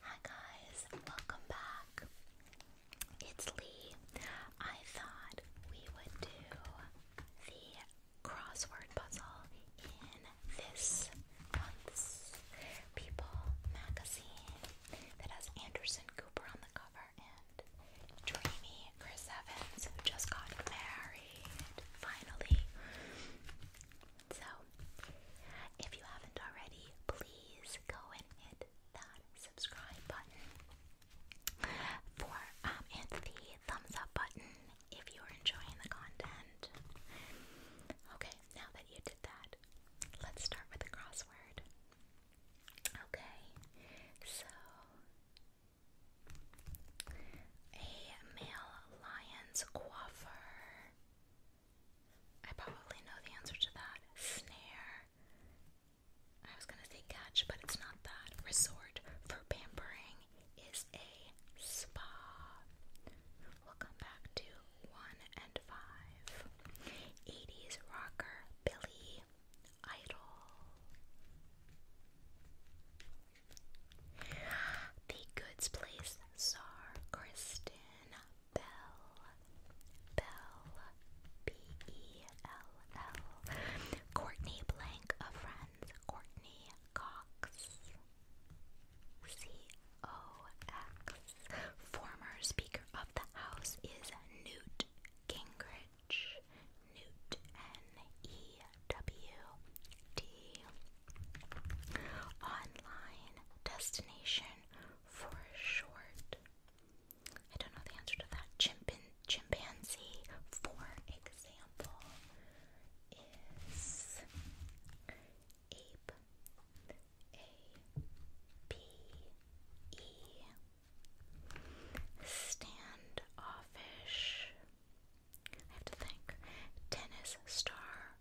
Hi guys, welcome back. It's Lee. I thought we would do the crossword puzzle in this month's People magazine that has Anderson Cooper on the cover and dreamy Chris Evans who just got married finally. So, if you haven't already, please go and hit that subscribe button for um, and the thumbs up button if you are enjoying the content. Okay, now that you did that, let's start with the crossword. Okay, so a male lion's coiffer I probably know the answer to that. Snare. I was gonna say catch, but it's not that. Resort for pampering is a spa. we back to one and five. 80s rocker Billy Idol. The Goods Place czar Kristen Bell, Bell, B E L L, Courtney Blank of Friends, Courtney Cox, C O X. Former Speaker of the House is Newt Gingrich, Newt N E W T. Online destination for short? I don't know the answer to that. Chimpan chimpanzee, for example, is ape. A P E standoffish. I have to think. Tennis star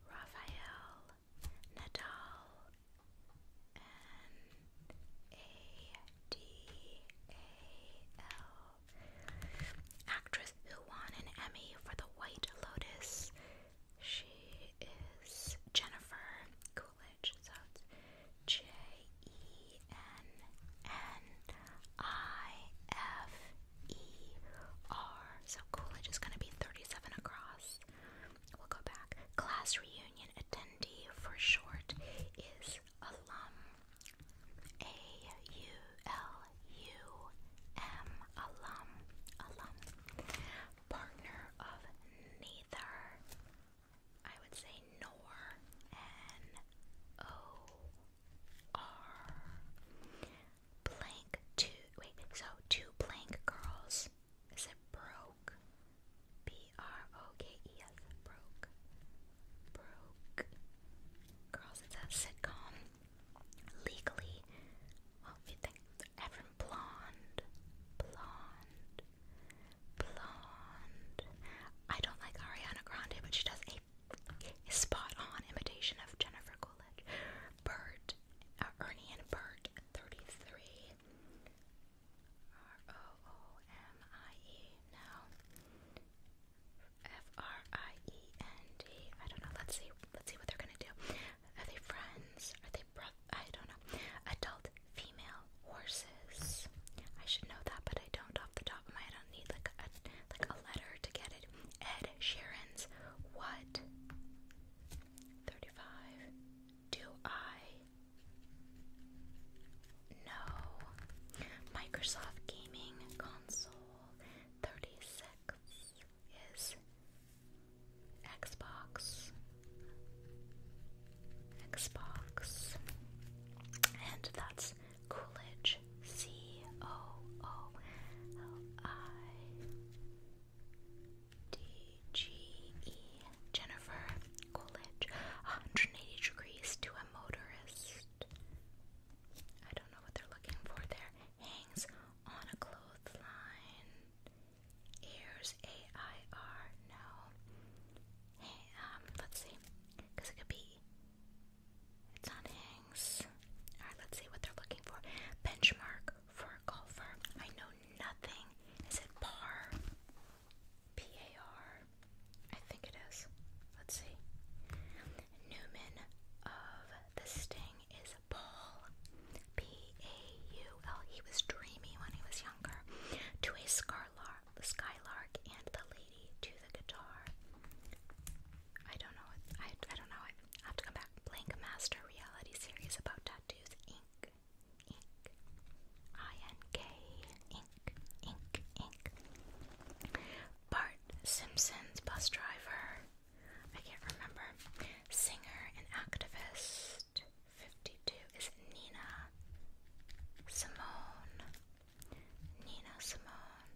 Raphael Nadal, N A D A L, actress who won an Emmy for The White Lotus. She is Jennifer Coolidge, so J E N N I F E R. So Coolidge is going to be 37 across this. We'll go back. Class reunion attendee for short is alum. A U L U M. Alum. Alum. Partner of neither. I would say nor. N O R blank two wait, so two blank girls. Is it broke? B R O K E S broke. Broke girls, it's a sitcom. Legally well if you blonde. Blonde. Blonde. I don't like Ariana Grande, but she does a spot on imitation of Jennifer Coolidge. Bird uh, Ernie and Bert, 33. R O O M I E, no. F R I E N D. I don't know. Let's see. Let's see what they're gonna do. Are they friends? Are they bro? I don't know. Adult female horses. I should know that, but I don't off the top of my head. I need like a like a letter to get it. Ed Sheeran's what? 32. 35. Do I? No. Microsoft Gaming Console 36 is Xbox. Xbox. And that's Coolidge. C O O L I DGE Jennifer College, 180 degrees to a motorist. I don't know what they're looking for there. Hangs on a clothesline. Airs A I R. No. um, let's see. Because it could be. It's on hangs. Alright, let's see what they're looking for. Benchmark for a golfer. I know nothing. Is it par? P A R. I think it is. Let's see. Newman of the Sting is Paul. P A U L. He was dreamy when he was younger. To a skylark, skylark and the lady to the guitar. I don't know. I I don't know. I have to come back. Blank Master Reality Series about tattoos. Ink. Ink. I-N-K. Ink. Ink. Ink. Bart Simpson's bus driver. I can't remember. Singer and activist. 52 is Nina Simone. Nina Simone.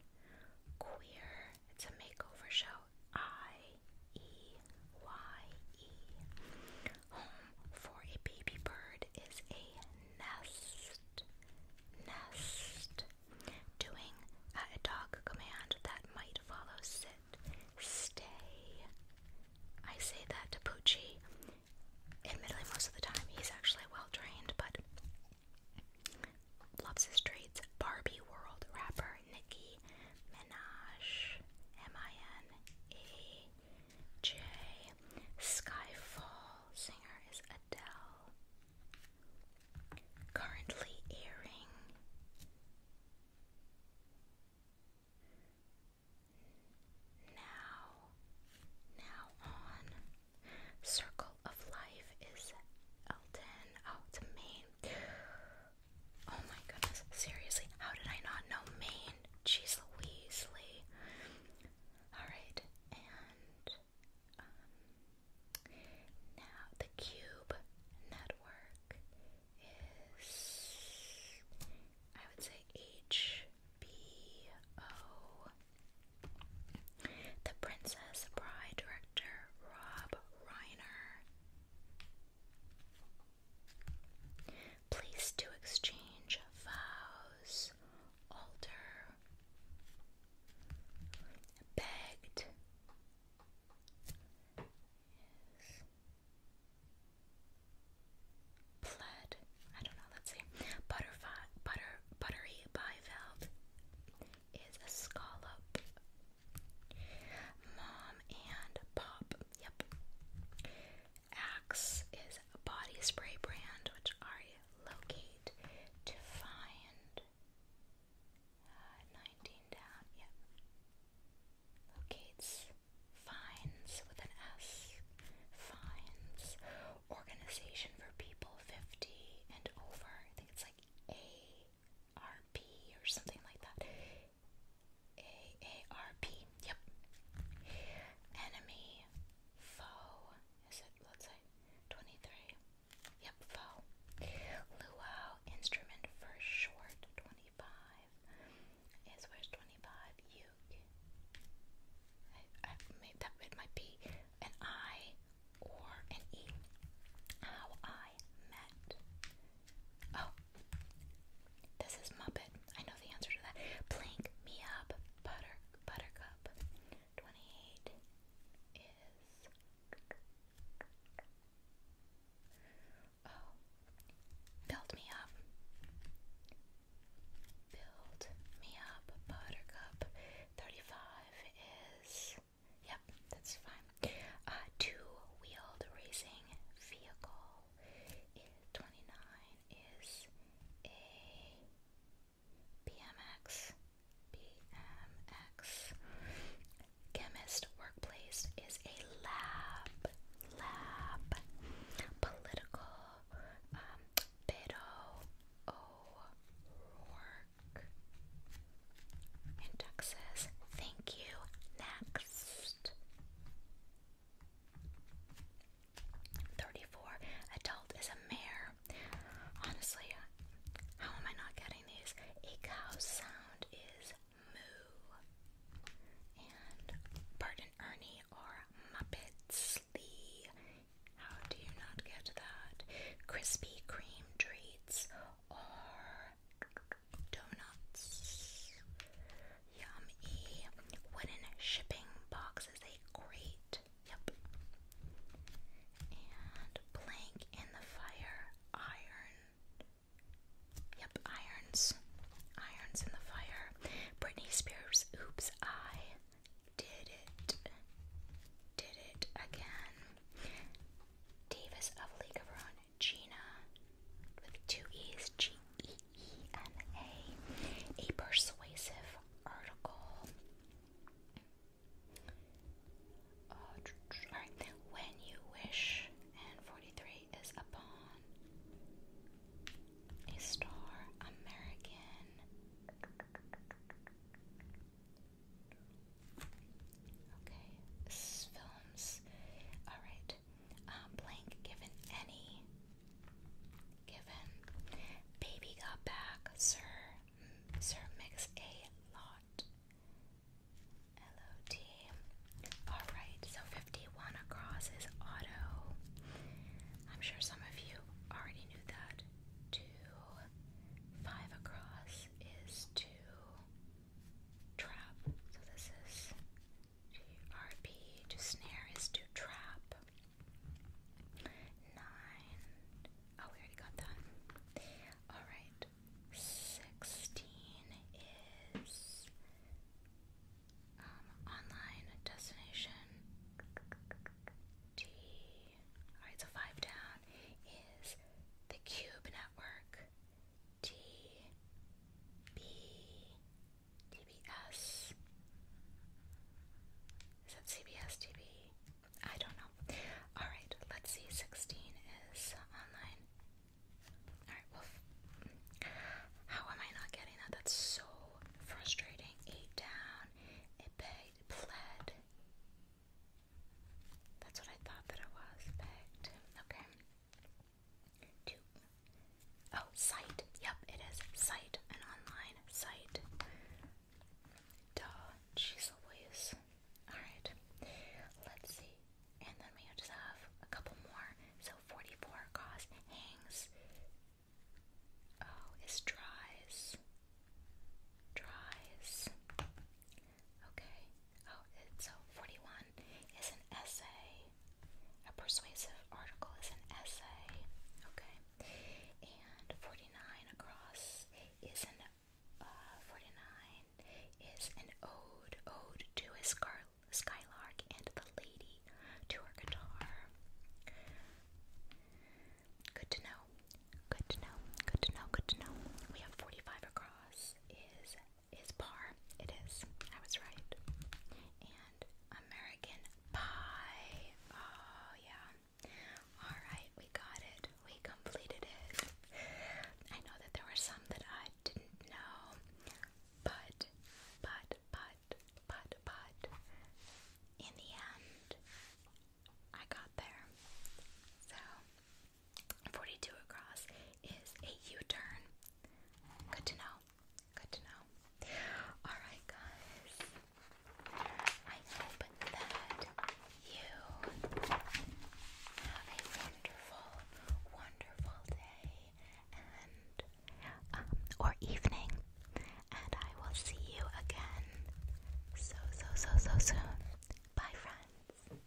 Queer. It's a makeover show. I E Y E. Home for a baby bird is a nest. Nest. Doing a dog command that might follow sit, stay. I say that to Poochie. Admittedly, most of the time he's actually well trained, but loves his treats. Barbie World rapper are Nicki Minaj, M-I-N-A-J. Skyfall singer is Adele. Currently airing. Now, now on Circle of Life is Elton. Oh, Oh my goodness, seriously, how did I not know Maine? Jeez Louise Lee. Alright, and um, now the Cube Network is, I would say, HBO. The Princess Bride director Rob Reiner Place to exchange vows, altar, begged. Pled. I don't know, let's see. Butterfly butter buttery bivalve is a scallop Mom and Pop. Yep. Axe is a body spray brand which I locate to find uh, 19 down. Yep. Locates finds with an S. Finds organization for people 50 and over. I think it's like A. or something like that. AARP. Yep. Enemy foe. Is it let's say 23? Yep, foe. Luau instrument for short 25. Is where's 25? You I made that it might be an I or an E. How I I Oh, this is Muppet. I know the answer to that. Plink me up, butter, buttercup. 28 is. Oh, build me up. Build me up, buttercup. 35 is. Yeah, that's fine. Uh, two-wheeled racing vehicle. Twenty-nine is a BMX. BMX. Chemist workplace is a lab. Lab. Political. Um, and Duck Thank you. Next. 34. Adult is a mare. Honestly, how am I not getting these? A cow's sound is moo. And Ernie are Muppets. Lee. How do you not get that? Krispy Kreme treats are donuts. Yummy. Wooden shipping box is a great. Yep. And plank in the fire. Iron. Yep, irons. Irons in the fire. Britney Spears, oops, I did it. Did it again. Davis of League of Gina with two E's, G E E N A, a persuasive article. Uh, Alright, when you wish, and 43 is upon a star American. Okay, films. Alright, um, blank given any. Given. Baby got back. Sir. Mm, sir makes a lot. L-O-T. Alright, so 51 across is auto. I'm sure some of you already knew that. Two. Five across is two trap. So this is GRP to snare is to trap. Nine. Oh, we already got that. Alright. Sixteen is um, online destination. D. Alright, so five down is the Cube Network. T, B, T B S. Is that C B don't know. Alright, let's see. 16 is online. Alright, well, how am I not getting that? That's so frustrating. 8 down, it begged, pled. That's what I thought that it was. Begged. Okay. Oh, site. Yep, it is. Site. An online site. Duh. She's always. Alright. Let's see. And then we just have a couple more. So 44 cost hangs. Oh, is dries. Dries. Okay. Oh, it, so uh, 41 is an essay. A persuasive article is an essay. Okay. And 49 across is an uh, 49 is an ode, ode to a scar skylark and the lady to her guitar. Good to know. Good to know. Good to know. Good to know. We have 45 across is is par. It is. I was right. And American Pie. Oh, yeah. Alright, we got it. We completed it. I know that there were some that I didn't know. But, but, but, but, but, in the end, I got there. So, 42 across is a U-turn. Good to know. Good to know. Alright guys. I hope that you have a wonderful, wonderful day and um, or evening. And I will see you again so so so so soon. Bye friends.